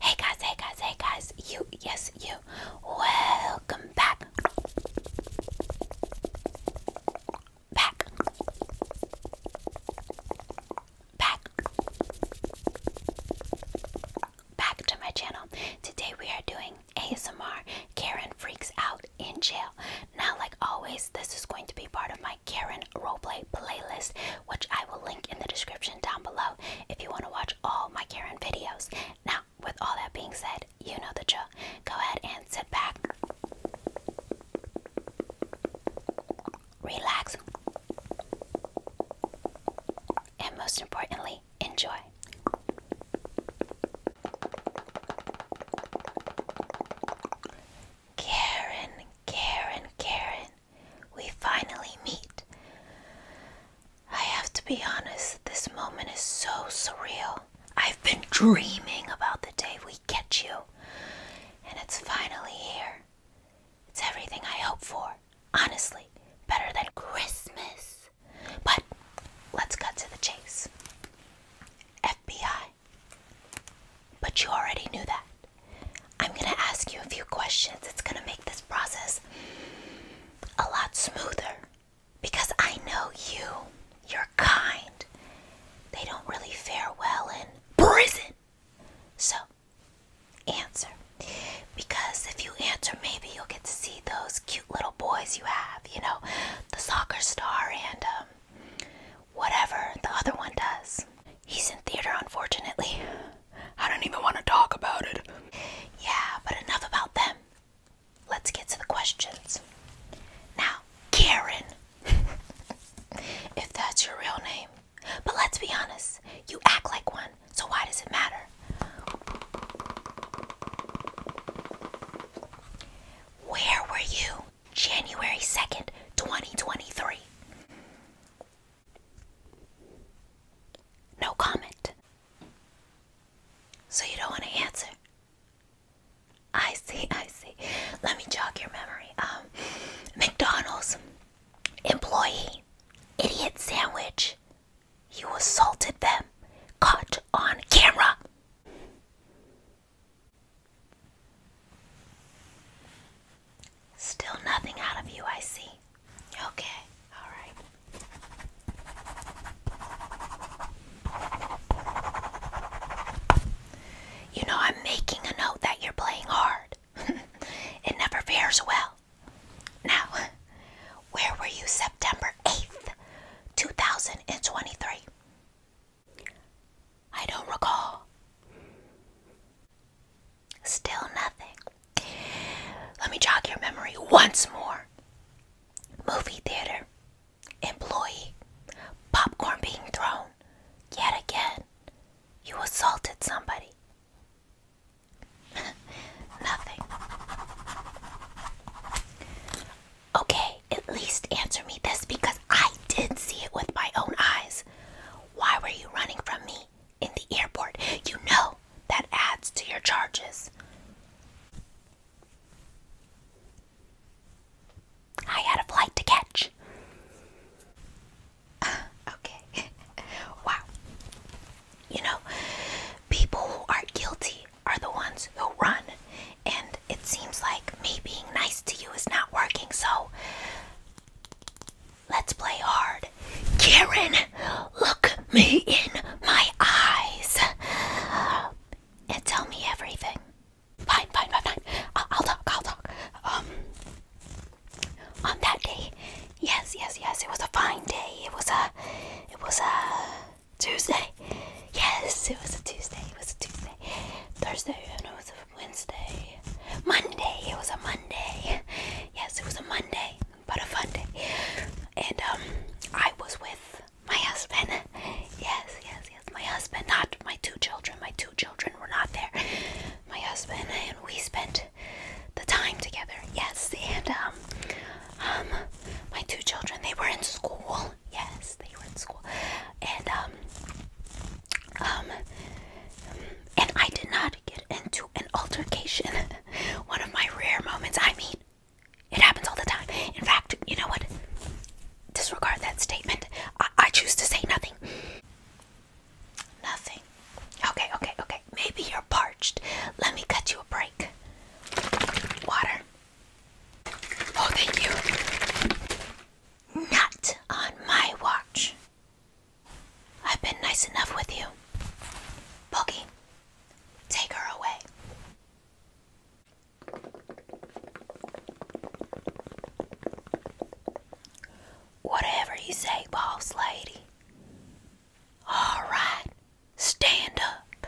Hey guys, hey guys, hey guys, you, yes, you, welcome back. Back. Back. Back to my channel. Today we are doing ASMR Karen Freaks Out in Jail. Now, like always, this is going to be part of my Karen roleplay playlist, which I will link in the description down below if you want to watch all my Karen videos. Now, with all that being said, you know the drill. Go ahead and sit back, relax, and most importantly, enjoy. Karen, Karen, Karen, we finally meet. I have to be honest, this moment is so surreal. I've been dreaming about the day we catch you, and it's finally here. It's everything I hope for. Honestly, better than Christmas. But let's cut to the chase. FBI, but you already knew that. I'm going to ask you a few questions. It's going to make this process a lot smoother because I know you. You're kind. They don't really fare well in prison. So, answer. Because if you answer, maybe you'll get to see those cute little boys you have, you know, the soccer star and um, Whatever the other one does. He's in theater, unfortunately. I don't even want to talk about it. Yeah, but enough about them. Let's get to the questions. Now, Karen, if that's your real name. But let's be honest, you act like one, so why does it matter? Where were you January 2nd, 2023. No comment. So you don't want to answer? I see, I see. Let me jog your memory. Um, McDonald's employee, idiot sandwich. You assaulted them, caught on camera. Still nothing out of you, I see. Okay, all right. You know, I'm making a note that you're playing hard. it never fares well. Now, where were you September 8th, 2023? I don't recall. Still nothing. Let me jog your memory once more. Movie theater, employee, popcorn being thrown. Yet again, you assaulted somebody. Nothing. Okay, at least answer me this because I did see it with my own eyes. Why were you running from me in the airport? You know that adds to your charges. I had a flight to catch. okay. wow. You know, people who are guilty are the ones who run, and it seems like me being nice to you is not working, so Let's play hard. Karen, look me in my eyes and tell me everything. Fine, fine, fine, fine. I'll, talk, I'll talk. Um, on that day, yes, yes, yes, it was a fine day. It was a, it was a Tuesday. Yes, it was a Tuesday. It was a Tuesday. Thursday, and it was a Wednesday, Monday. It was a Monday. Yes, it was a Monday, but a fun day. And um, I was with my husband. Yes, yes, yes. My husband, not my two children. My two children were not there. My husband and we spent the time together. Yes, and um, um, my two children. They were in school. Yes, they were in school. And um, um, and I did not get into an altercation. One of my rare moments. I mean, it happens all the time. In fact, you know what? Disregard that statement. I, choose to say nothing. Nothing. Okay, okay, okay. Maybe you're parched. Let me cut you a break. Water. Oh, thank you. Not on my watch. I've been nice enough with you. Boogie, take her away. Whatever you say, boss lady. All right, stand up.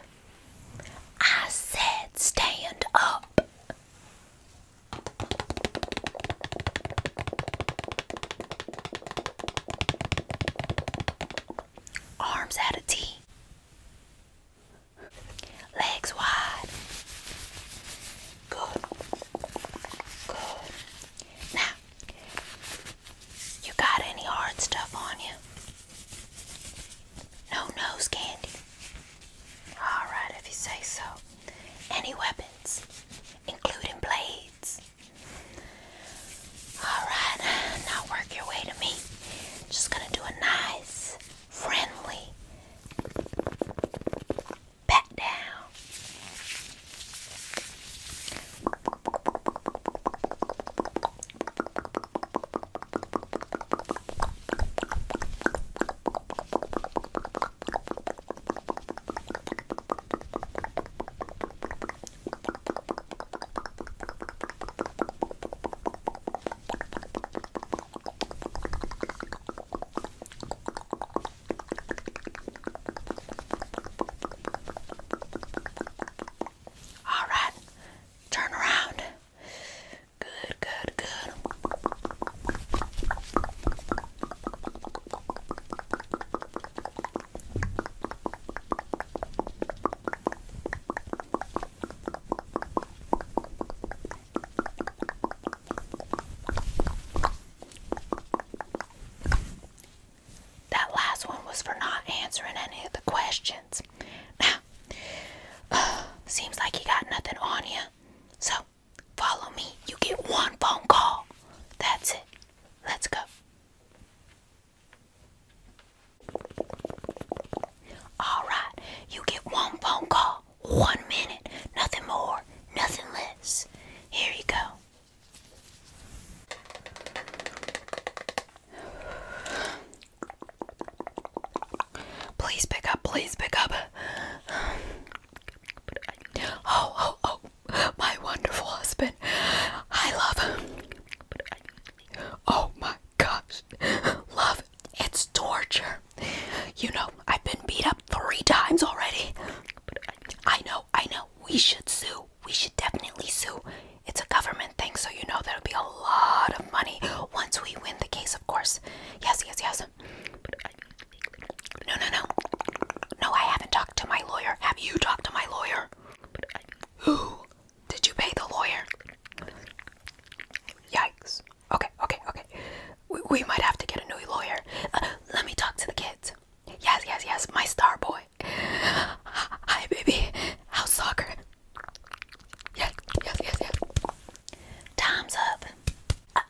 I said stand up. Arms out of a T. Legs wide. Good. Good. Now, you got any hard stuff on you? No nose candy. All right, if you say so any weapons, including blades. Alright, now work your way to me. Just gonna do a nice, friendly pat down. All right, turn around. Good, good, good. That last one was for not answering any of the questions. Now, seems like you got nothing on you. So, Follow me. You get one phone call. That's it. Let's go. All right. You get one phone call. One minute. Nothing more. Nothing less. Here you go. Please pick up, please pick up. Oh, oh, oh, my wonderful husband. I love him. Oh my gosh. Love, it's torture. You know, I've been beat up three times already. I know, I know. We should sue. We should definitely sue. It's a government thing, so you know there'll be a lot of money once we win the case, of course. Yes, yes, yes. No, no, no. No, I haven't talked to my lawyer. Have you talked to my lawyer? Who? Did you pay the lawyer? Yikes. Okay, okay, okay. We, might have to get a new lawyer. Uh, let me talk to the kids. Yes, yes, yes. My star boy. Hi, baby. How's soccer? Yes, yes, yes, yes. Time's up. Uh,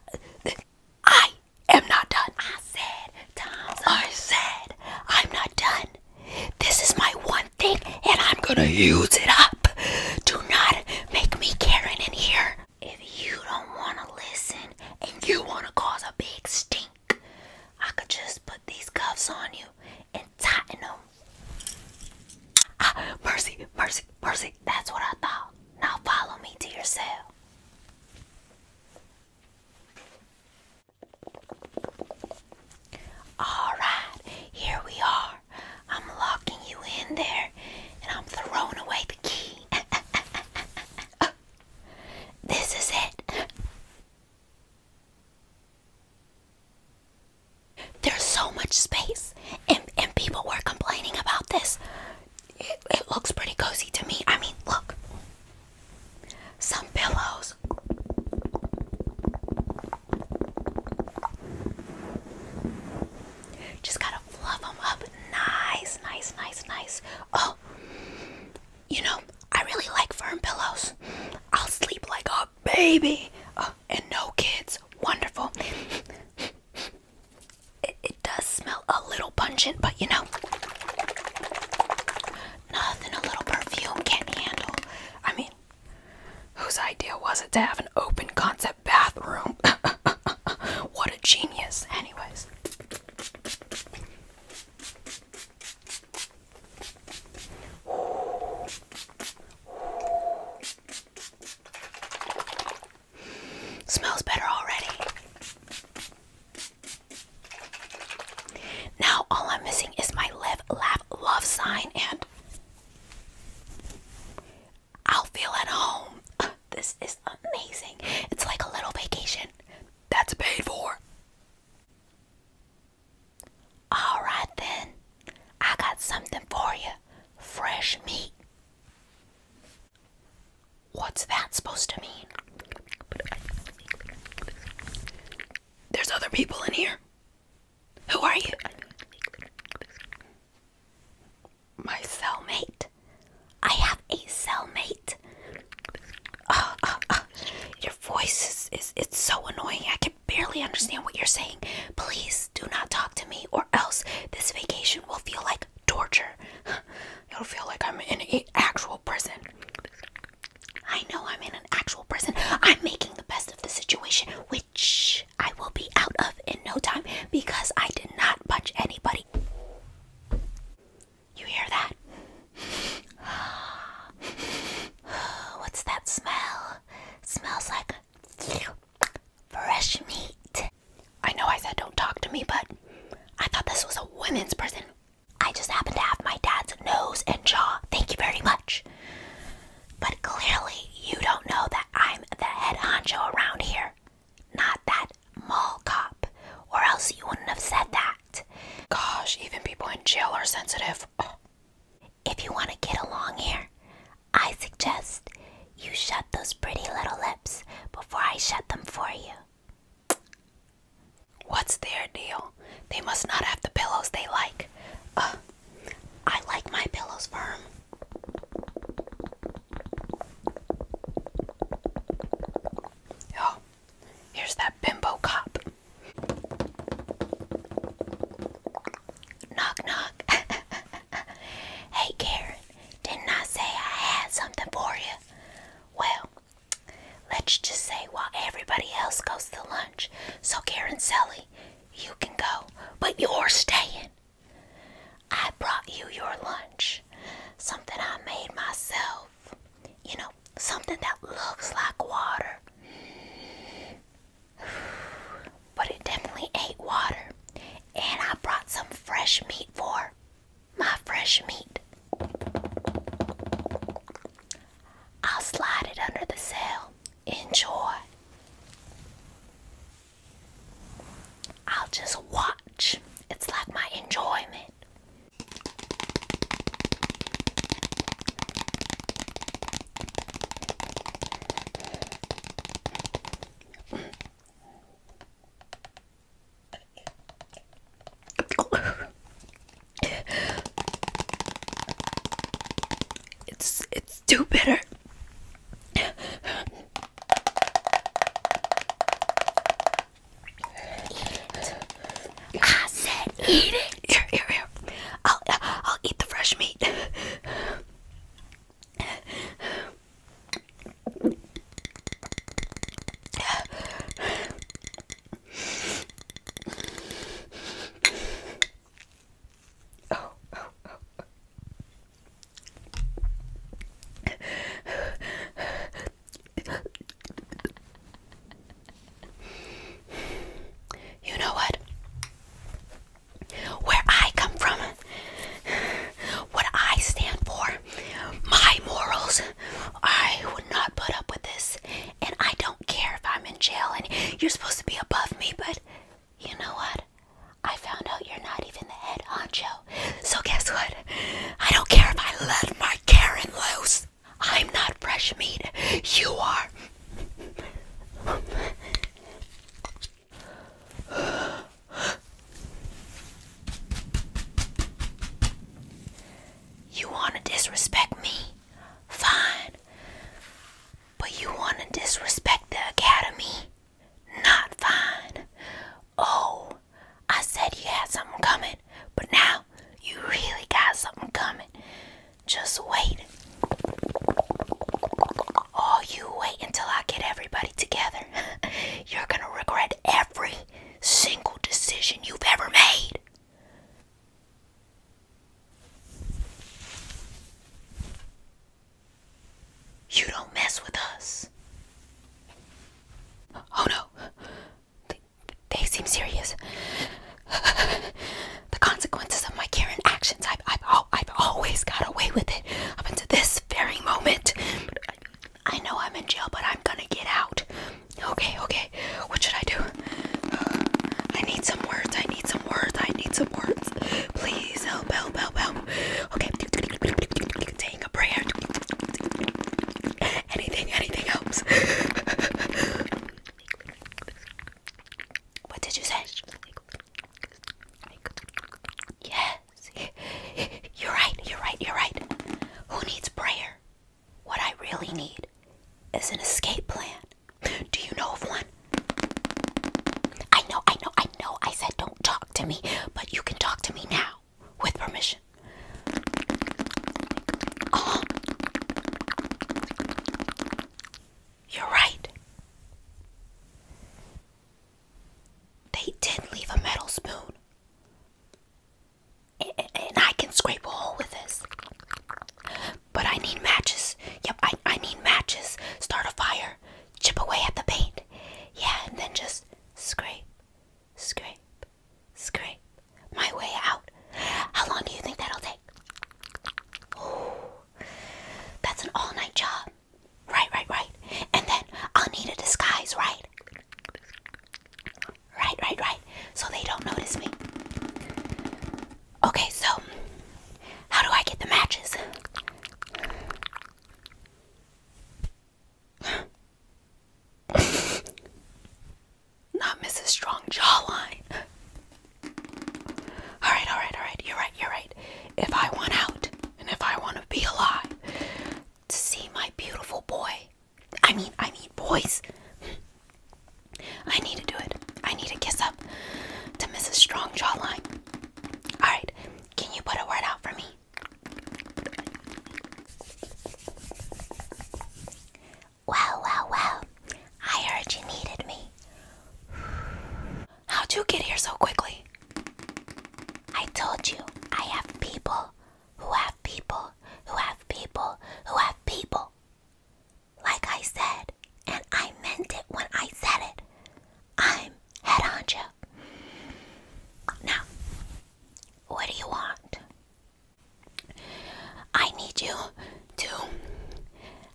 I am not done. I said, time's up. I said, I'm not done. This is my one thing, and I'm gonna use it up. Do not make me Karen in here. If you don't wanna listen and you wanna cause a big stink, I could just put these cuffs on you and tighten them. Ah, mercy, mercy, mercy. That's what I thought. Now follow me to your cell. Alright, here we are. I'm locking you in there and I'm throwing away the key. this is it. There's so much space, and, and people were complaining about this it, looks pretty cozy to me. I mean, look. Some pillows. Just gotta fluff them up. Nice, nice, nice, nice. Oh, you know, I really like firm pillows. I'll sleep like a baby. Oh, and no kids. Wonderful. It, does smell a little pungent, but you know, nothing a little perfume can't handle. I mean, whose idea was it to have an open concept bathroom? what a genius, anyways. Smells better already. Now all I'm missing is my live, laugh, love sign, and I'll feel at home. This is amazing. It's like a little vacation that's paid for. Alright then, I got something for you fresh meat. What's that supposed to mean? There's other people in here. Who are you? My cellmate. I have a cellmate. Uh, uh, uh. Your voice is, is it's so annoying. I can barely understand what you're saying. Please do not talk to me or else this vacation will feel like torture. It'll feel like I'm in an actual prison. I know I'm in an actual prison. I'm making the best of the situation, which I will be out of in no time because I did not punch anybody. You hear that? What's that smell? Smells like fresh meat. I know I said don't talk to me, but I thought this was a women's prison. I just happen to have my dad's nose and jaw. Thank you very much. But clearly, you don't know that I'm the head honcho around here, not that mall cop, or else you wouldn't have said that. Gosh, even people in jail are sensitive. If you want to get along here, I suggest you shut those pretty little lips before I shut them for you. What's their deal? They must not have the pillows they like. Uh, I like my pillows firm. Oh, here's that bimbo cop. Knock, knock. hey, Karen, didn't I say I had something for you? Well, let's just say while everybody else goes to lunch, so Karen Sally, you can go, but you're staying. I brought you your lunch, something I made myself. You know, something that looks like water. But it definitely ain't water and I brought some fresh meat for my fresh meat. I'll slide it under the sail. Enjoy. I'll just watch. It's like my enjoyment. it's it's too bitter. I said eat it. Here, here, here. I'll I'll eat the fresh meat. You know what? Where I come from, what I stand for, my morals. I would not put up with this, and I don't care if I'm in jail and you're supposed to be above me, but you know what? I found out you're not even the head honcho. So, guess what? I don't care if I let my Karen loose. I'm not fresh meat. You are. You want to disrespect me? Fine. But you want to disrespect the academy? Not fine. Oh, I said you had something coming, but now you really got something coming. Just wait. Oh, you wait until I get everybody together, you're going to regret every single decision you've ever made. You don't mess with us. Oh no, they, seem serious. the consequences of my Karen actions, I, I, oh, I I've always got away with it up until this very moment. I, know I'm in jail, but I'm gonna get out. Okay, okay. What should I do? Uh, I need some words. I need some words. I need some words. Please help, help, help, help. Okay, take a prayer. Anything, anything helps. What did you say? Yes. You're right. You're right. You're right. Who needs prayer? What I really need is an escape plan. Do you know of one? I know. I know. I know. I said don't talk to me, but you can talk to me now with permission. Oh. You're right. They did leave a metal spoon. And I can scrape a hole with this. But I need matches. Yep, I, I need matches. Start a fire. Chip away at the paint. Yeah, and then just scrape, scrape, scrape my way out. How long do you think that'll take? Oh, that's an all night job. Right, right, right. And then I'll need a disguise, right? Right, right, right. So they don't notice me. Okay, so how do I get the matches? Not Mrs. Strong jawline. Alright, alright, alright. You're right, you're right. If I want out and if I want to be alive, to see my beautiful boy. I mean, I mean, boys. I need to do it. I need to kiss up to Mrs. Strong Jawline. Alright, can you put a word out for me? Wow, wow, wow. I heard you needed me. How'd you get here so quickly? I told you, I have people who have people who have people who have people. Like I said, and I meant it when I said it, I'm head on honcho. Now, what do you want? I need you to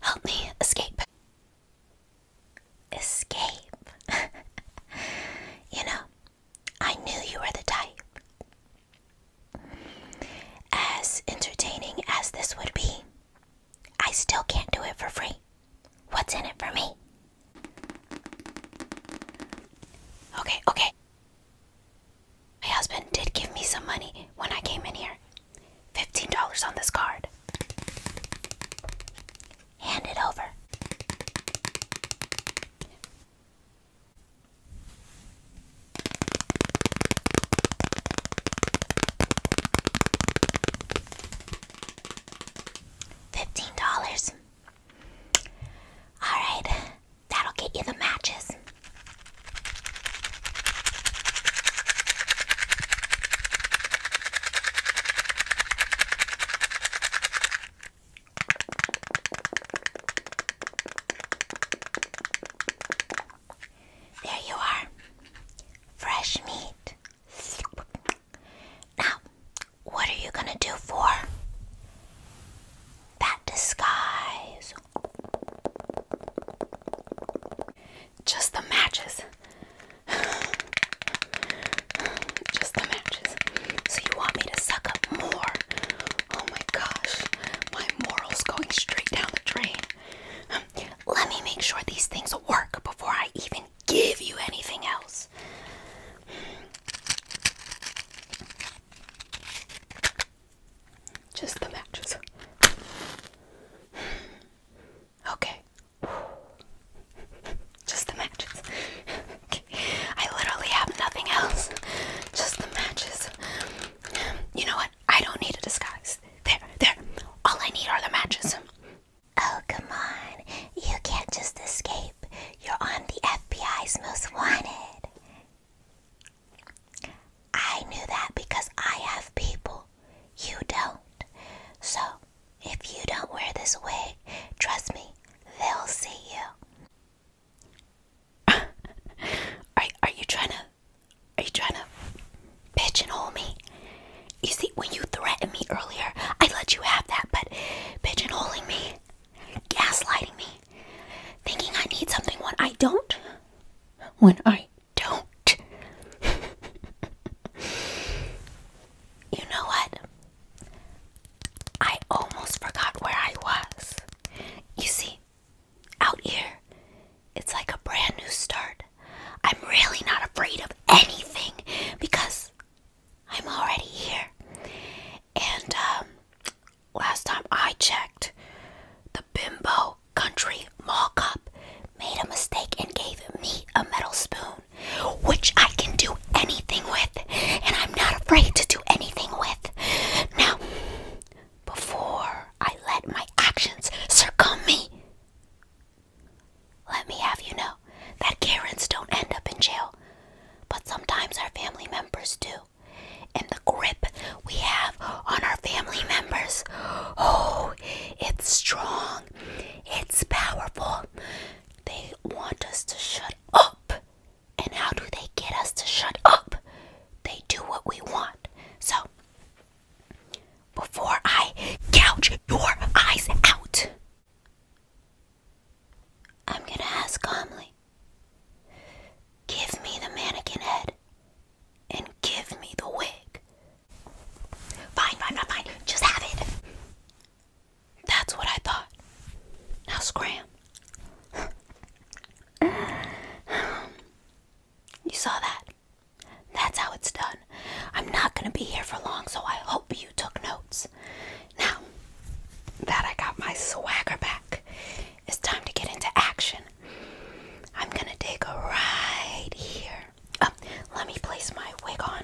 help me escape escape. you know, I knew you were the type. As entertaining as this would be, I still can't do it for free. What's in it for me? Okay, okay. My husband did give me some money when I came in here $15 on this card. Hand it over. Fifteen dollars. Alright, that'll get you the matches. There you are, fresh meat. Now, what are you going to do for that disguise? Just the matches. Just the matches. So you want me to suck up more? Oh my gosh, my morals going straight down the drain. Um, let me make sure these things work before I even give you anything else. Just the matches. Okay. Just the matches. okay. I literally have nothing else. Just the matches. You know what? I don't need a disguise. There, there. All I need are the matches. Oh, come on. You can't just escape. You're on the FBI's most wanted. I knew that because I have people. You don't. So if you don't wear this wig, trust me, they'll see you. are, are you trying to are you trying to pigeonhole me? You see, when you threatened me earlier, I let you have that, but pigeonholing me, gaslighting me, thinking I need something when I don't, when I don't. you know what? I almost forgot where I was. You see, out here, it's like a brand new start. I'm really not afraid of anything because I'm already here. And um, last time I checked, the Bimbo Country Mall Cop made a mistake and gave me a metal spoon which I can do anything with, and I'm not afraid to do anything with. Now, before I let my actions circumb me, let me have you know that Karens don't end up in jail, but sometimes our family members do. And the grip we have on our family members, oh, it's strong, it's powerful. They want us to shut up. And how do they get us to shut up? They do what we want. So, before I gouge your eyes out, I'm gonna ask calmly give me the mannequin head and give me the wig. Fine, fine, fine, fine. Just have it. That's what I thought. Now scram. you saw that? That's how it's done. I'm not going to be here for long, so I hope you took notes. Now that I got my swagger back, it's time to get into action. I'm going to dig right here. Oh, let me place my wig on.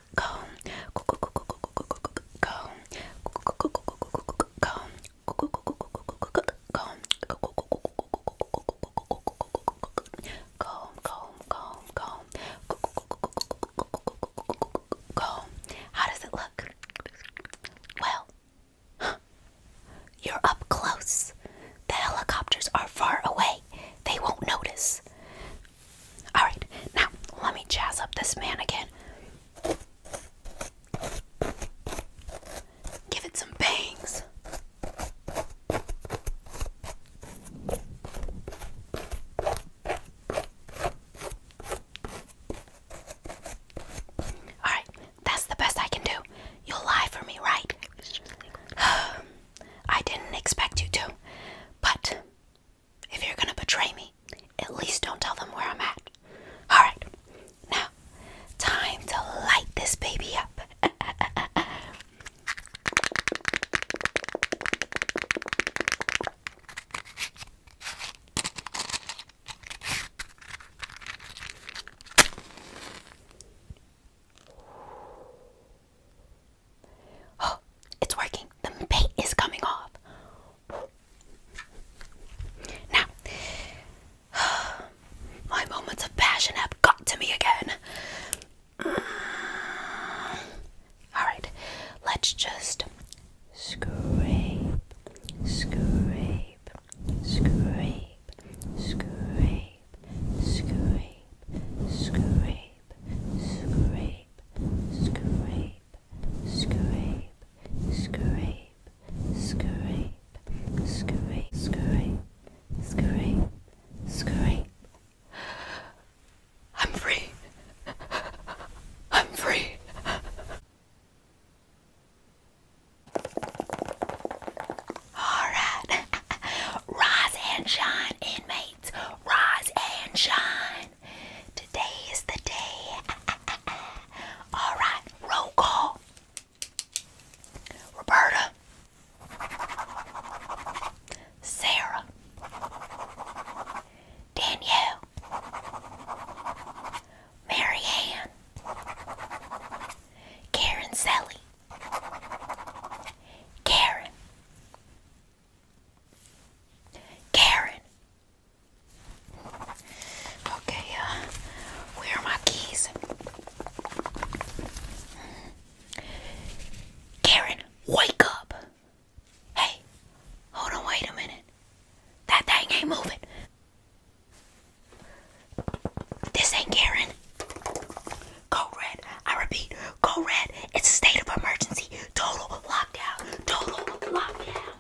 go go go go go go go how does it look? Well, you're up close. The helicopters are far away. They won't notice. Alright, now let me jazz up this man again. Give it some bangs. Alright, that's the best I can do. You'll lie for me, right? I didn't expect you to, but if you're gonna betray me, at least don't tell them where I'm at. Alright, now, time to light this baby up. Oh, it's working. The paint is coming off. Now, my moments of passion have got to me again. Alright, let's just scrape, scrape, scrape, scrape, scrape, scrape, scrape, scrape, scrape, scrape, scrape, scrape, scrape, scrape, scrape. I'm free. I'm free. All right. Rise and shine, inmates rise and shine. Today is the day. All right, roll call. Roberta. Sarah. Danielle. Mary Karen Sally. Karen. Karen. Okay, uh, where are my keys? Karen, wake up. Hey, hold on, wait a minute. That thing ain't moving. This ain't Karen. Go red. I repeat, code red. It's a state of emergency. Total lockdown. Total lockdown.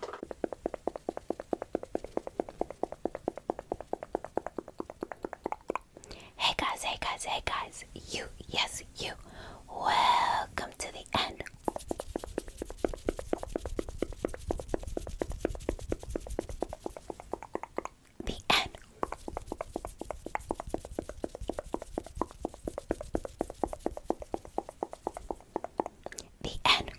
Hey guys, hey guys, hey guys. You, yes, you. Welcome to the end. The end the end.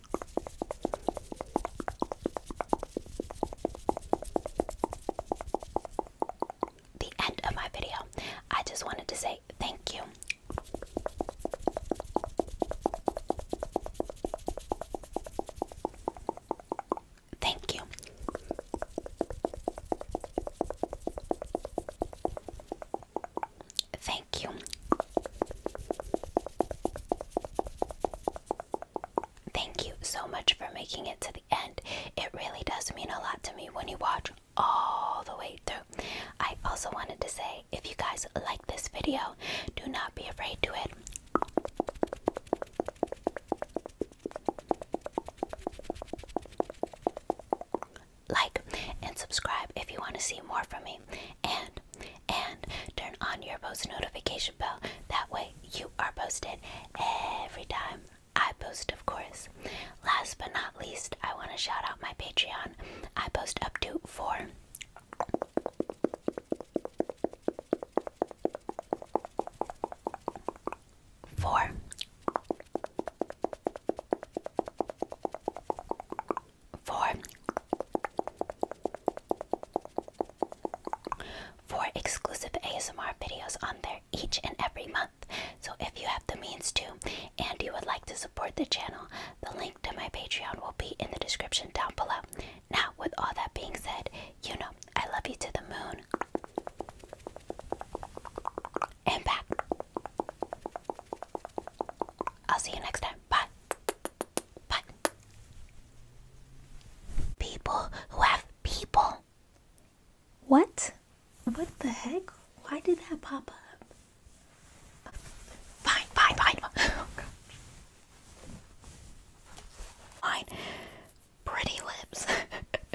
The end of my video. I just wanted to say thank you. Thank you. Thank you. Thank you so much for making it to the end. It really does mean a lot to me when you watch all the way through. I also wanted to say if you guys like this video, do not be afraid to it. Like and subscribe if you want to see more from me. And and turn on your post notification bell. That way you are posted every time I post, of course. Last but not least, I want to shout out my Patreon. I post up to four Four for for exclusive ASMR videos on there each and every month. So if you have the means to and you would like to support the channel, the link to my Patreon will be in the description down below. Now, with all that being said, you know I love you to the moon and back. I'll see you next time. Bye. Bye. People who have people. What? What the heck? Why did that pop up? Fine, fine, fine. Oh, gosh. Pretty lips.